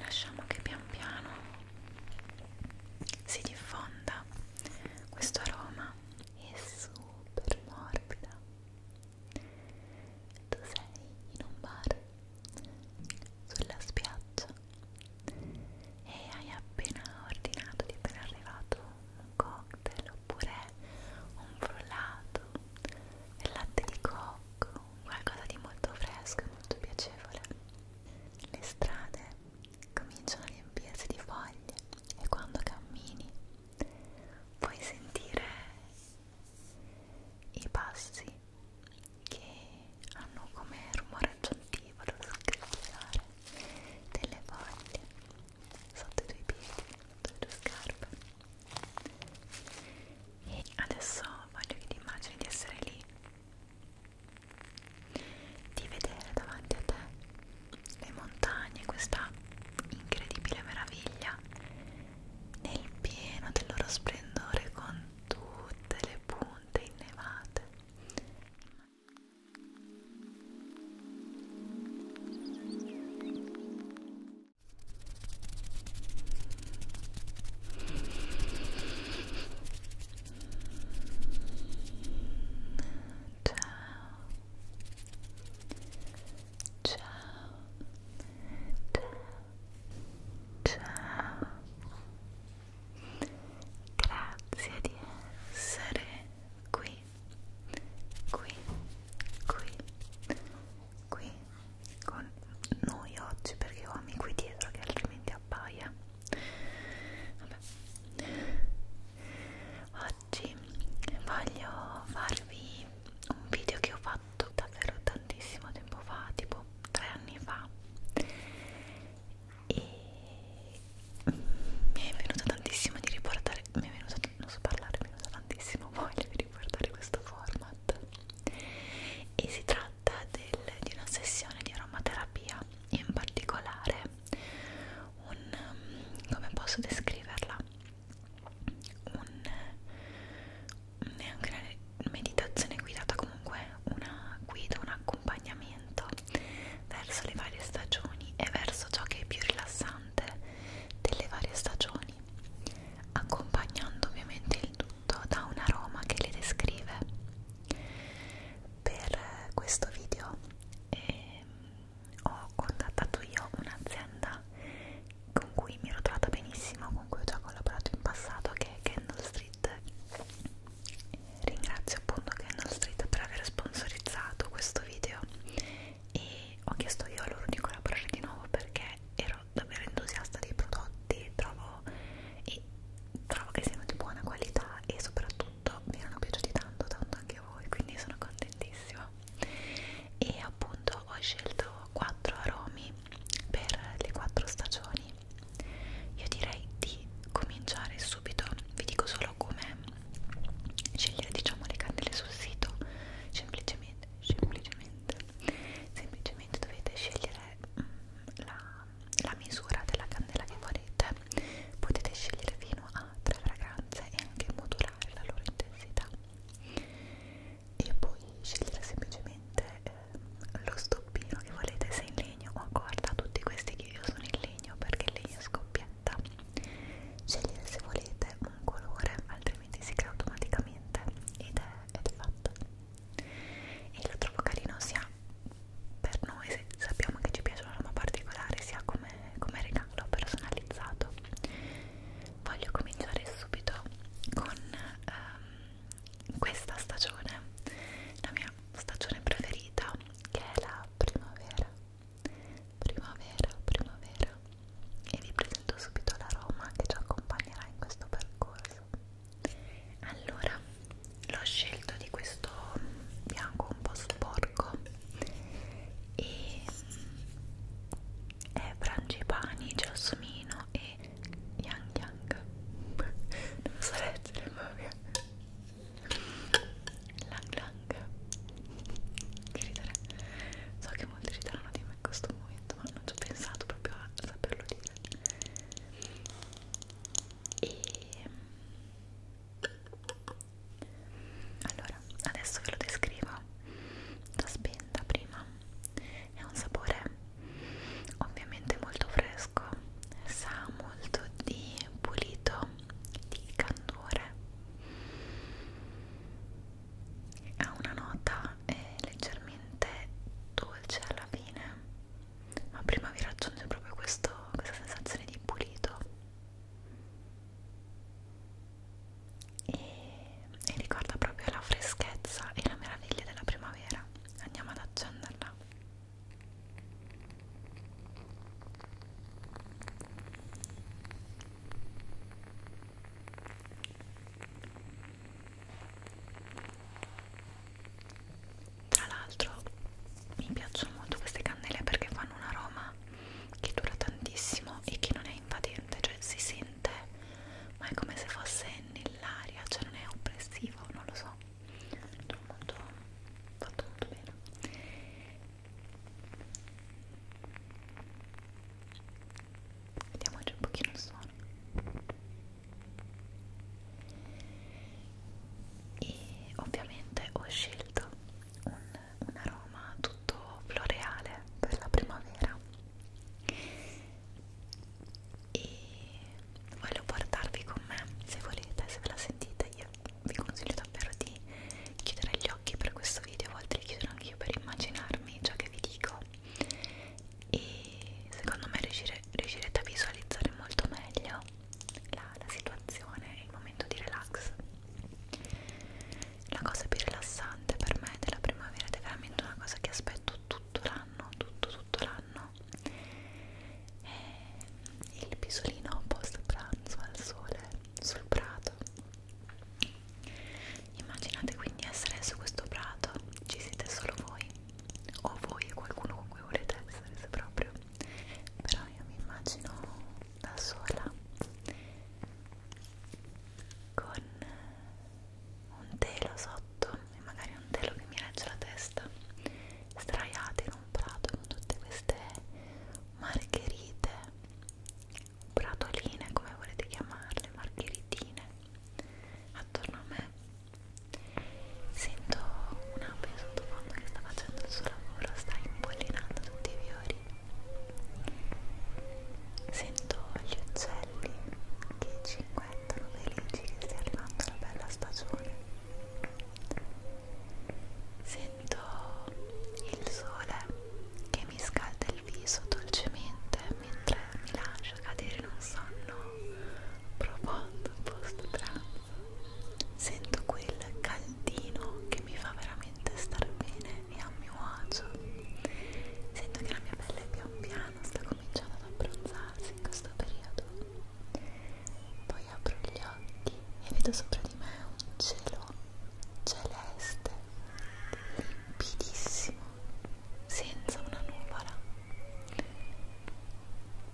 Lasciamo che pian piano si diffonda questo aroma, è super morbida. Tu sei in un bar sulla spiaggia e hai appena ordinato, ti è appena arrivato un cocktail cocktail oppure un frullato, il latte di cocco, qualcosa di molto fresco e molto piacevole. Le strade cominciano a riempirsi di foglie e quando cammini puoi sentire i passi che hanno come rumore aggiuntivo lo scricchiolare delle foglie sotto i tuoi piedi, sotto le tue scarpe. E adesso voglio che ti immagini di essere lì, di vedere davanti a te le montagne, questa incredibile meraviglia, nel pieno del loro splendore con tutte le punte innevate. Ciao. Ciao. Ciao. Grazie di essere qui qui, qui, qui con noi oggi perché ho amici dietro che altrimenti appaia Vabbè. oggi voglio farvi un video che ho fatto davvero tantissimo tempo fa tipo tre anni fa e mi è venuta tantissimo di riportare mi è venuta non so parlare, mi usa tantissimo voglia di riportare questo format e si tratta del, di una sessione di aromaterapia in particolare un, um, come posso descriverla? Un, neanche una meditazione guidata comunque una guida, un accompagnamento verso le varie stagioni e verso ciò che è più rilassante piante delle varie stagioni, accompagnando ovviamente il tutto da un aroma che le descrive. Per questo video eh, ho contattato io un'azienda con cui mi ero trovata benissimo, con cui ho già collaborato in passato, che è Candle Street. Ringrazio appunto Candle Street per aver sponsorizzato questo video e ho chiesto io a loro di collaborare di nuovo perché ero davvero entusiasta dei prodotti trovo, e trovo che siano di buona qualità e soprattutto mi erano piaciuti tanto tanto anche a voi quindi sono contentissima e appunto ho scelto 4 aromi per le 4 stagioni io direi di cominciare subito vi dico solo come scegliere diciamo le candele sul sito semplicemente semplicemente semplicemente dovete scegliere mm, la, la misura della candela che volete potete scegliere fino a tre fragranze e anche modulare la loro intensità e poi scegliere semplicemente eh, lo stoppino che volete se in legno o oh, corda tutti questi che io sono in legno perché il legno scoppietta scegliere se volete un colore altrimenti si crea automaticamente ed è, ed è fatto e lo trovo carino sia per noi se sappiamo che ci piace una roba particolare sia come, come regalo personalizzato voglio cominciare subito con ehm, questa stagione la mia stagione preferita che è la primavera primavera, primavera e vi presento subito l'aroma che ci accompagnerà in questo percorso allora l'ho scelto di questo bianco un po' sporco e mm, è frangipani, gelsomino e yang yang non so leggere ma Lang Lang che ridere so che molti rideranno di me in questo momento ma non ci ho pensato proprio a saperlo dire e allora adesso ve lo descrivo la spenta prima è un sapore ovviamente molto fresco sa molto di pulito di candore ha una nota eh, leggermente dolce alla fine ma prima vi raggiunge proprio questo, questa sensazione di pulito e, e ricorda proprio la freschezza e la meraviglia della primavera andiamo ad accenderla tra l'altro mi piacciono molto queste cannelle perché fanno un aroma che dura tantissimo e che non è invadente, cioè si sente, ma è come se fosse nell'aria, cioè non è oppressivo, non lo so. Tutto molto fatto molto bene Vediamoci un pochino il suono. E ovviamente ho scelto un, un aroma tutto floreale per la primavera e voglio portarvi con me se volete, se ve la sentite io vi consiglio davvero di chiudere gli occhi per questo video, a volte li chiudo anche io per immaginarmi ciò che vi dico e secondo me riuscire, riuscirete a visualizzare molto meglio la, la situazione e il momento di relax. La cosa più rilassante per me della primavera ed è veramente una cosa che aspetto tutto l'anno, tutto tutto l'anno è il pisolino post pranzo al sole sul prato Immaginate quindi essere su questo prato, ci siete solo voi, o voi e qualcuno con cui volete essere se proprio, però io mi immagino da sola con un telo sotto e magari un telo che mi regge la testa straiata in un prato con tutte queste margherite bratoline come volete chiamarle, margheritine attorno a me sento un'ape sottofondo che sta facendo il suo lavoro, sta impollinando tutti i fiori sento gli uccelli che cinguettano felici che stia arrivando la bella stagione sento sento il sole che mi scalda il viso dolcemente mentre mi lascio cadere in un sonno profondo post pranzo sento quel caldino che mi fa veramente star bene e a mio agio sento che la mia pelle pian piano sta cominciando ad abbronzarsi in questo periodo poi apro gli occhi e vedo sopra di me un cielo celeste limpidissimo, senza una nuvola.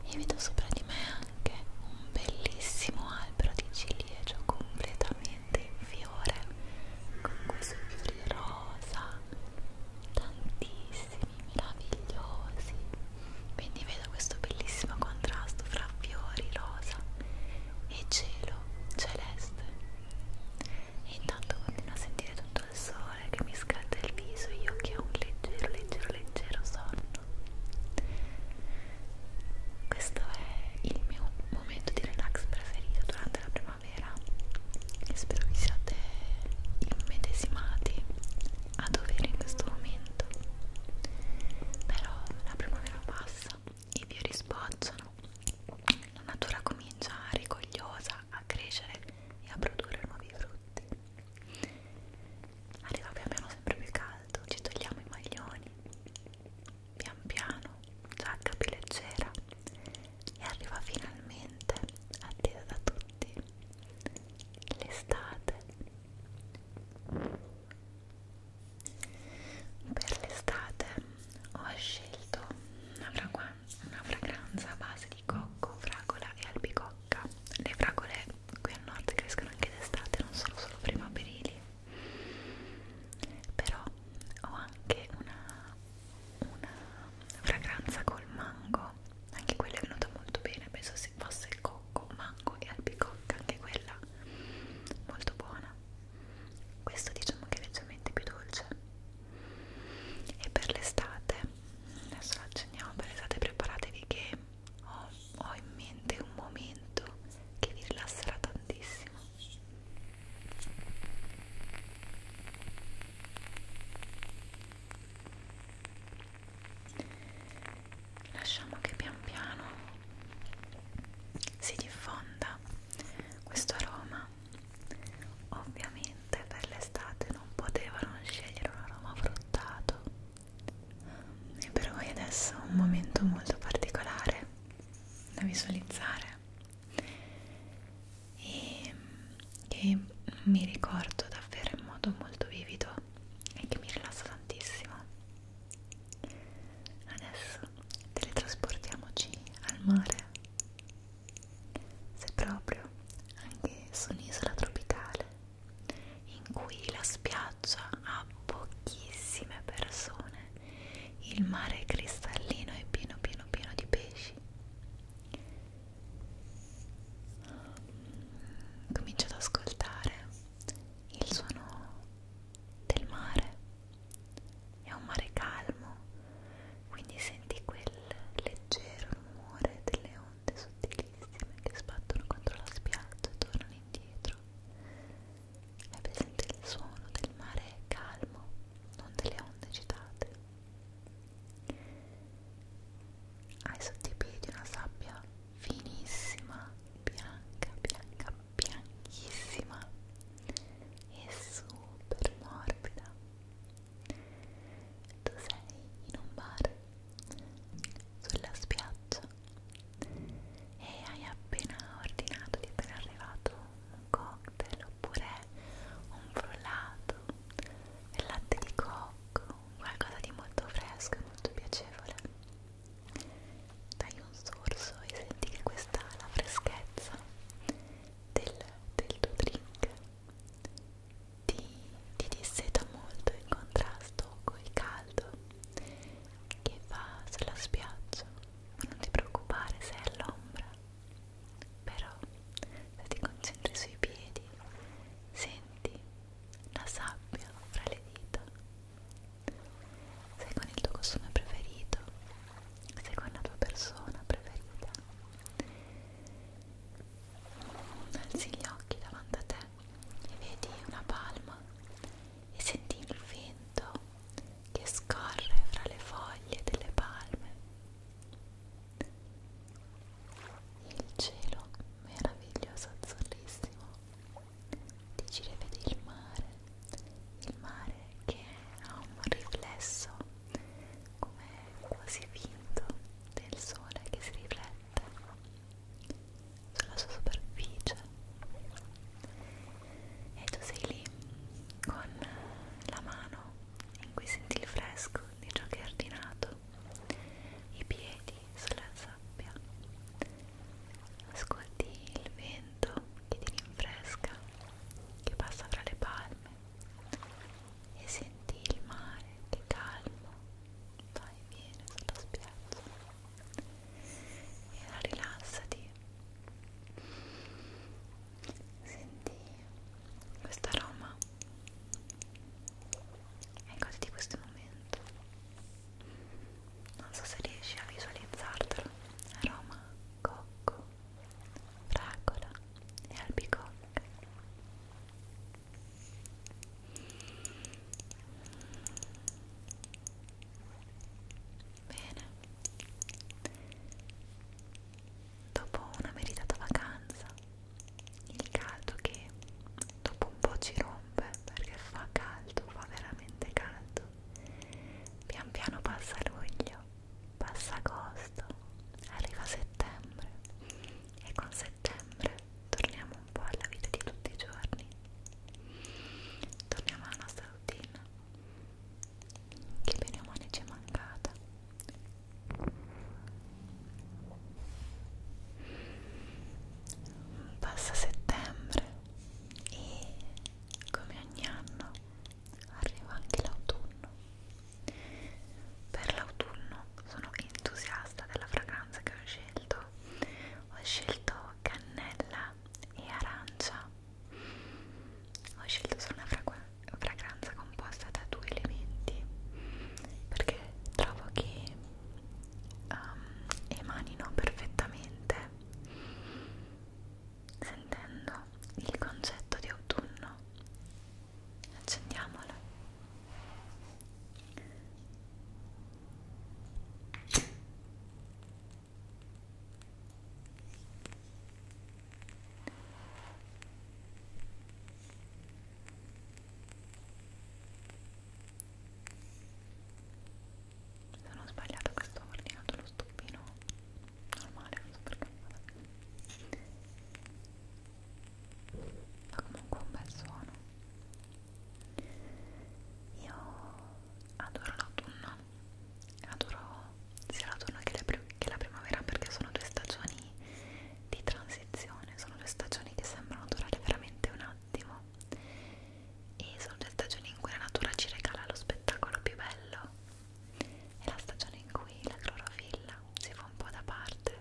E vedo sopra di me anche un bellissimo albero di ciliegio completamente in fiore, con questi fiori rosa, tantissimi, meravigliosi. Quindi vedo questo bellissimo contrasto fra fiori rosa e cielo celeste e intanto continuo a sentire tutto il sole che mi scalda il viso e io che ho un leggero leggero leggero sonno questo è il mio momento di relax preferito durante la primavera e spero che siate immedesimati a dovere in questo momento però la primavera passa i fiori sbocciano, la natura comincia rigogliosa a crescere e a produrre nuovi frutti. Arriva pian piano sempre più caldo, ci togliamo i maglioni, pian piano, giacca più leggera e arriva finalmente, attesa da tutti, l'estate per l'estate ho scelto una, una fragranza a base di cocco, fragola e albicocca le fragole qui al nord crescono anche d'estate non sono solo primaverili però ho anche una, una fragranza col mango anche quella è venuta molto bene penso se fosse il cocco, mango e albicocca anche quella molto buona questo diciamo che è leggermente più dolce e per l'estate adesso lo accendiamo per l'estate preparatevi che ho, ho in mente un momento che vi rilasserà tantissimo lasciamo che pian piano si diffonda questo aroma ovviamente per l'estate non potevo non scegliere un aroma fruttato e per voi adesso è un momento molto particolare da visualizzare e che mi ricordo davvero in modo molto vivido e che mi rilassa tantissimo Adesso teletrasportiamoci al mare. Se proprio anche su un'isola tropicale in cui la spiaggia ha pochissime persone, il mare è cristallino e pieno pieno pieno di pesci. Comincio ad ascoltare il suono del mare è un mare calmo quindi senti quel leggero rumore delle onde sottilissime che sbattono contro la spiaggia e tornano indietro è presente il suono del mare calmo non delle onde agitate hai sotto i piedi una sabbia finissima bianca bianca bianchissima e super morbida tu sei in un bar sulla spiaggia e hai appena ordinato ti è appena arrivato un cocktail oppure un frullato del latte di cocco qualcosa di molto fresco e molto piacevole dai un sorso e senti che questa ha la freschezza del, del tuo drink ti, ti disseta molto in contrasto col caldo che fa sulla spiaggia non ti preoccupare se è all'ombra però se ti concentri sui piedi senti la sabbia fra le dita sei con il tuo costume preferito, sei con la tua persona preferita. Alzi gli occhi davanti a te e vedi una palma e senti il vento che scorre fra le foglie delle palme. Il cielo meraviglioso azzurrissimo di vedere il mare, il mare che ha un riflesso come quasi finto del sole che si riflette sulla sua superficie e tu sei lì con la mano in cui senti il fresco di ciò che è ordinato i piedi sulla sabbia ascolti il vento che ti rinfresca, che passa tra le palme e senti il mare che calmo va e viene sulla spiaggia e ora rilassati senti questo aroma e goditi questo momento non so se riesci a visualizzartelo aroma cocco, fragola e albicocca. Bene. Dopo una meritata vacanza, il caldo che dopo un po' ci rompe perché fa caldo, fa veramente caldo. Pian piano passa luglio, passa agosto, arriva settembre e con settembre torniamo un po' alla vita di tutti i giorni. Torniamo alla nostra routine che bene o male ci è mancata. Passa settembre e come ogni anno arriva anche l'autunno per l'autunno sono entusiasta della fragranza che ho scelto ho scelto cannella e arancia ho scelto solo una fragranza composta da due elementi perché trovo che um, emanino perfettamente sentendo il concetto di autunno. Accendiamola non ho sbagliato che sto ordinato lo stupino normale, non so perché fa comunque un bel suono io adoro l'autunno adoro sia l'autunno che, la che la primavera perché sono due stagioni di transizione sono due stagioni che sembrano durare veramente un attimo e sono le stagioni in cui la natura ci regala lo spettacolo più bello è la stagione in cui la clorofilla si fa un po' da parte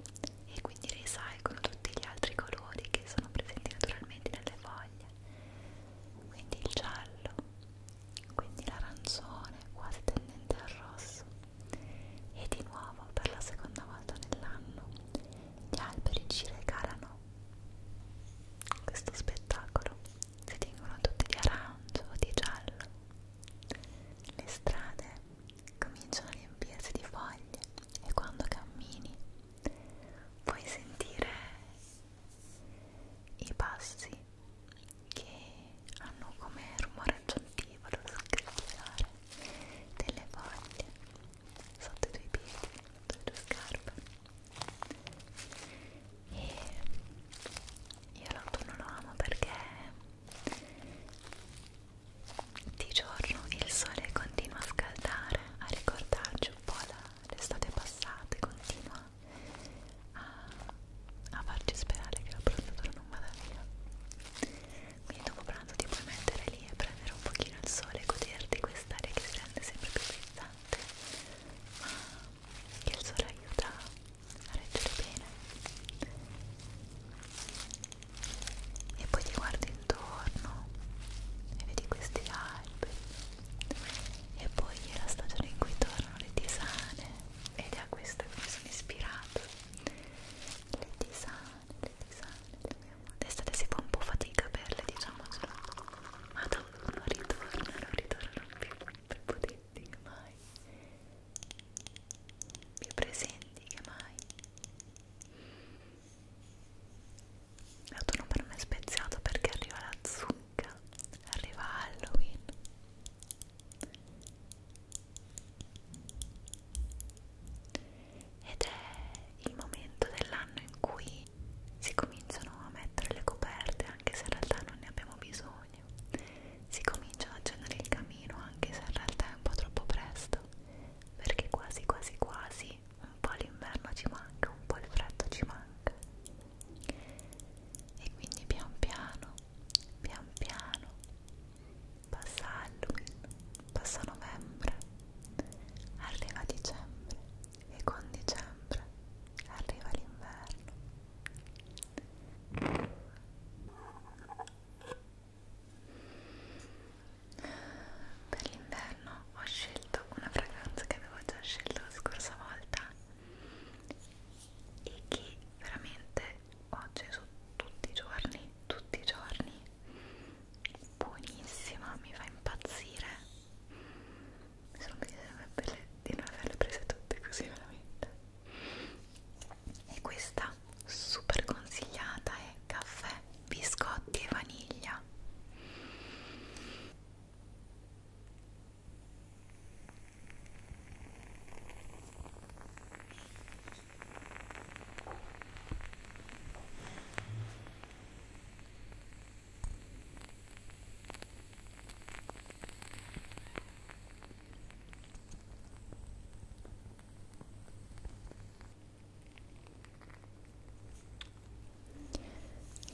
e quindi risalgono tutti gli altri colori che sono presenti naturalmente nelle foglie quindi il giallo quindi l'arancione quasi tendente al rosso e di nuovo per la seconda volta nell'anno gli alberi ci regalano questo spettacolo si tingono tutti di arancio o di giallo. Le strade cominciano a riempirsi di foglie e quando cammini puoi sentire i passi che hanno come rumore aggiuntivo lo scricchiolare delle foglie sotto i tuoi piedi, sotto le tue scarpe e io l'autunno lo amo perché di giorno il sole continua a scaldare, a ricordarci un po' l'estate passata e continua a, a farci sperare che la prontatura non vada via quindi dopo pranzo ti puoi mettere lì e prendere un pochino il sole e goderti quest'aria che si rende sempre più frizzante ma che il sole aiuta a reggere bene e poi ti guardi intorno e vedi questi alberi e poi è la stagione in cui tornano le tisane ed è a questo che mi sono ispirato le tisane, le tisane d'estate si fa un po' fatica a berle diciamocelo cioè. ma da non ritornano, non ritornano più prepotenti che mai più presenti che mai l'autunno per me è speziato perché arriva la zucca arriva Halloween ed è il momento dell'anno in cui si cominciano a mettere le coperte anche se in realtà non ne abbiamo bisogno, si comincia ad accendere il camino anche se in realtà è un po' troppo presto, perché quasi quasi quasi un po' l'inverno ci manca, un po' il freddo ci manca. E quindi pian piano, pian piano, passa Halloween, passa novembre, arriva dicembre e con dicembre arriva l'inverno. Per l'inverno ho scelto una fragranza che avevo già scelto la scorsa volta e che veramente ho acceso tutti i giorni, tutti i giorni. Buonissima, mi fa impazzire Solo mi sarebbe di non averle prese tutte così veramente. E questa super consigliata è caffè, biscotti e vaniglia.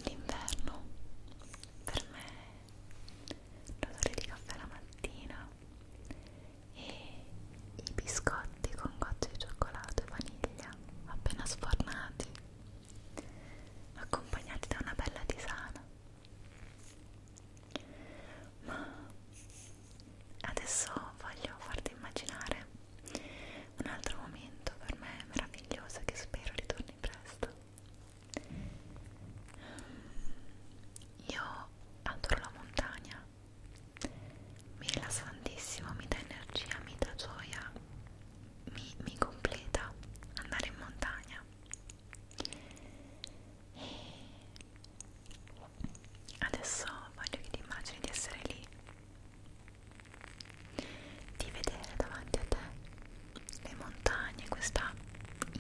L'inverno per me l'odore di caffè la mattina e i biscotti con gocce di cioccolato e vaniglia appena sfornati accompagnati da una bella tisana. Ma adesso voglio farti immaginare un altro momento per me meraviglioso che spero ritorni presto. Io adoro la montagna, mi rilassa tantissimo, mi dà energia, mi dà gioia mi, mi completa andare in montagna e adesso voglio che ti immagini di essere lì di vedere davanti a te le montagne questa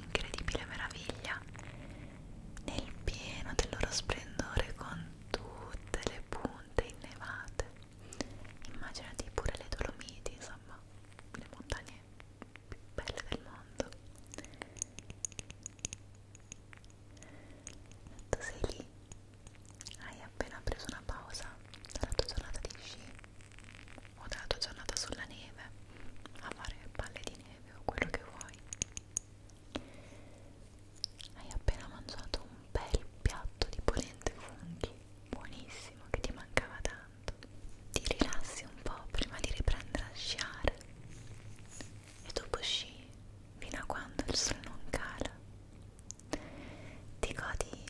incredibile meraviglia nel pieno del loro splendore con tutte le punte innevate immaginati pure le Dolomiti insomma le montagne più belle del mondo tu sei lì hai appena preso una pausa dalla tua giornata di sci o dalla tua giornata sulla neve a fare palle di neve o quello che vuoi hai appena mangiato un bel piatto di polente funghi buonissimo che ti mancava da tanto ti rilassi un po' prima di riprendere a sciare e dopo sci fino a quando il sole non cala ti godi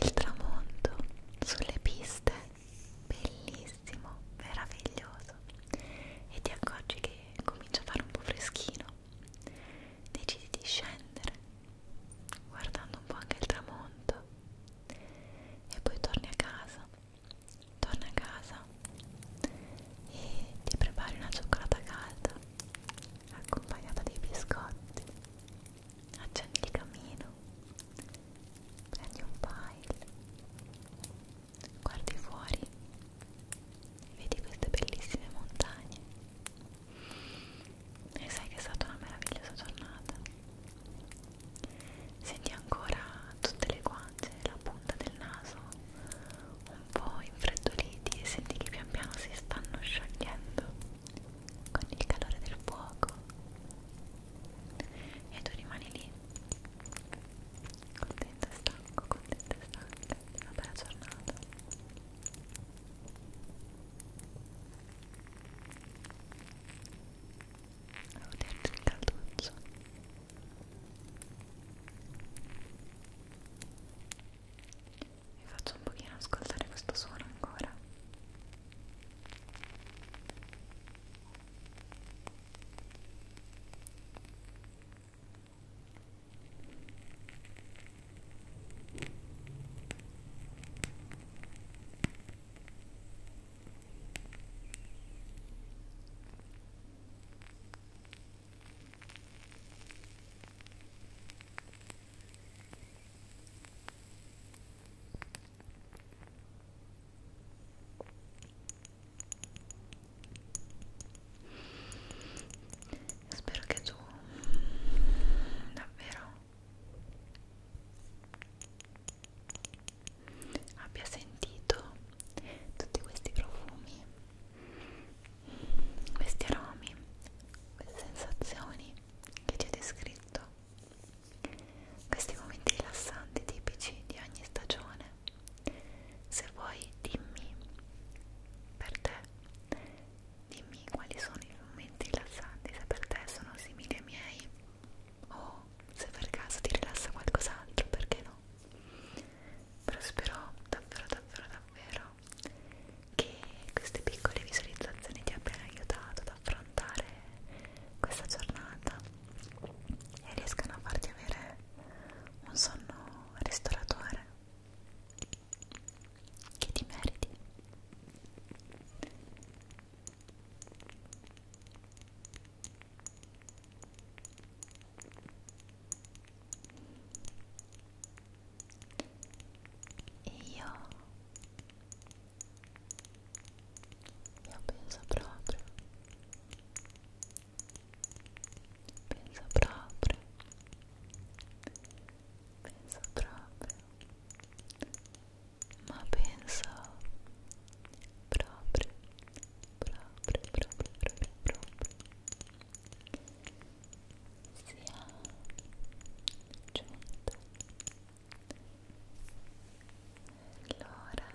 il tramonto sulle piste bellissimo, meraviglioso e ti accorgi che comincia a fare un po' freschino decidi di scendere guardando un po' anche il tramonto e poi torni a casa torni a casa e ti prepari una cioccolata calda accompagnata dai biscotti accendi il camino prendi un pile guardi fuori e vedi queste bellissime montagne e sai che è stata una meravigliosa giornata senti ancora tutte le guance la punta del naso un po' infreddoliti e senti che pian piano si stanno sciogliendo con il calore del fuoco e tu rimani lì contento e stanco contento e stanca una bella giornata Devo dirti il calduccio Vi faccio un pochino ascoltare questo suono ancora Ecco Spero che tu davvero abbia sentito tutti questi profumi, questi aromi, queste sensazioni che ci ho descritto, questi momenti rilassanti tipici di ogni stagione. Se vuoi dimmi per te Dimmi quali sono i momenti rilassanti, se per te sono simili ai miei o se per caso ti rilassa qualcos'altro, perché no? Però spero davvero, davvero, davvero che queste piccole visualizzazioni ti abbiano aiutato ad affrontare questa giornata e riescano a farti avere un sonno ristoratore che ti meriti e io io penso proprio penso proprio penso proprio ma penso proprio, proprio, proprio, proprio, proprio sia giunta l'ora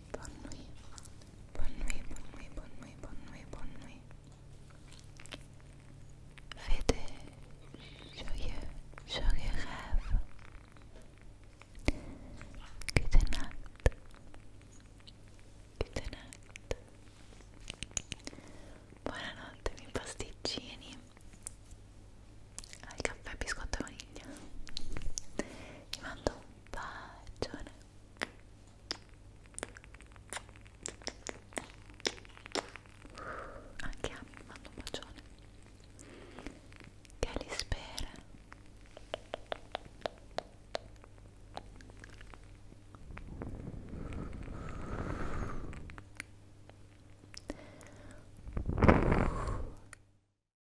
Bonne nuit. Bonne nuit, bonne nuit, bonne nuit, bonne nuit, bonne nuit. Faites joyeux, joyeux rêve. Good night. Good night. Buonanotte, miei pasticcini. Al caffè biscotto vaniglia. Vi mando bacione anche a me mando un bacione che li spera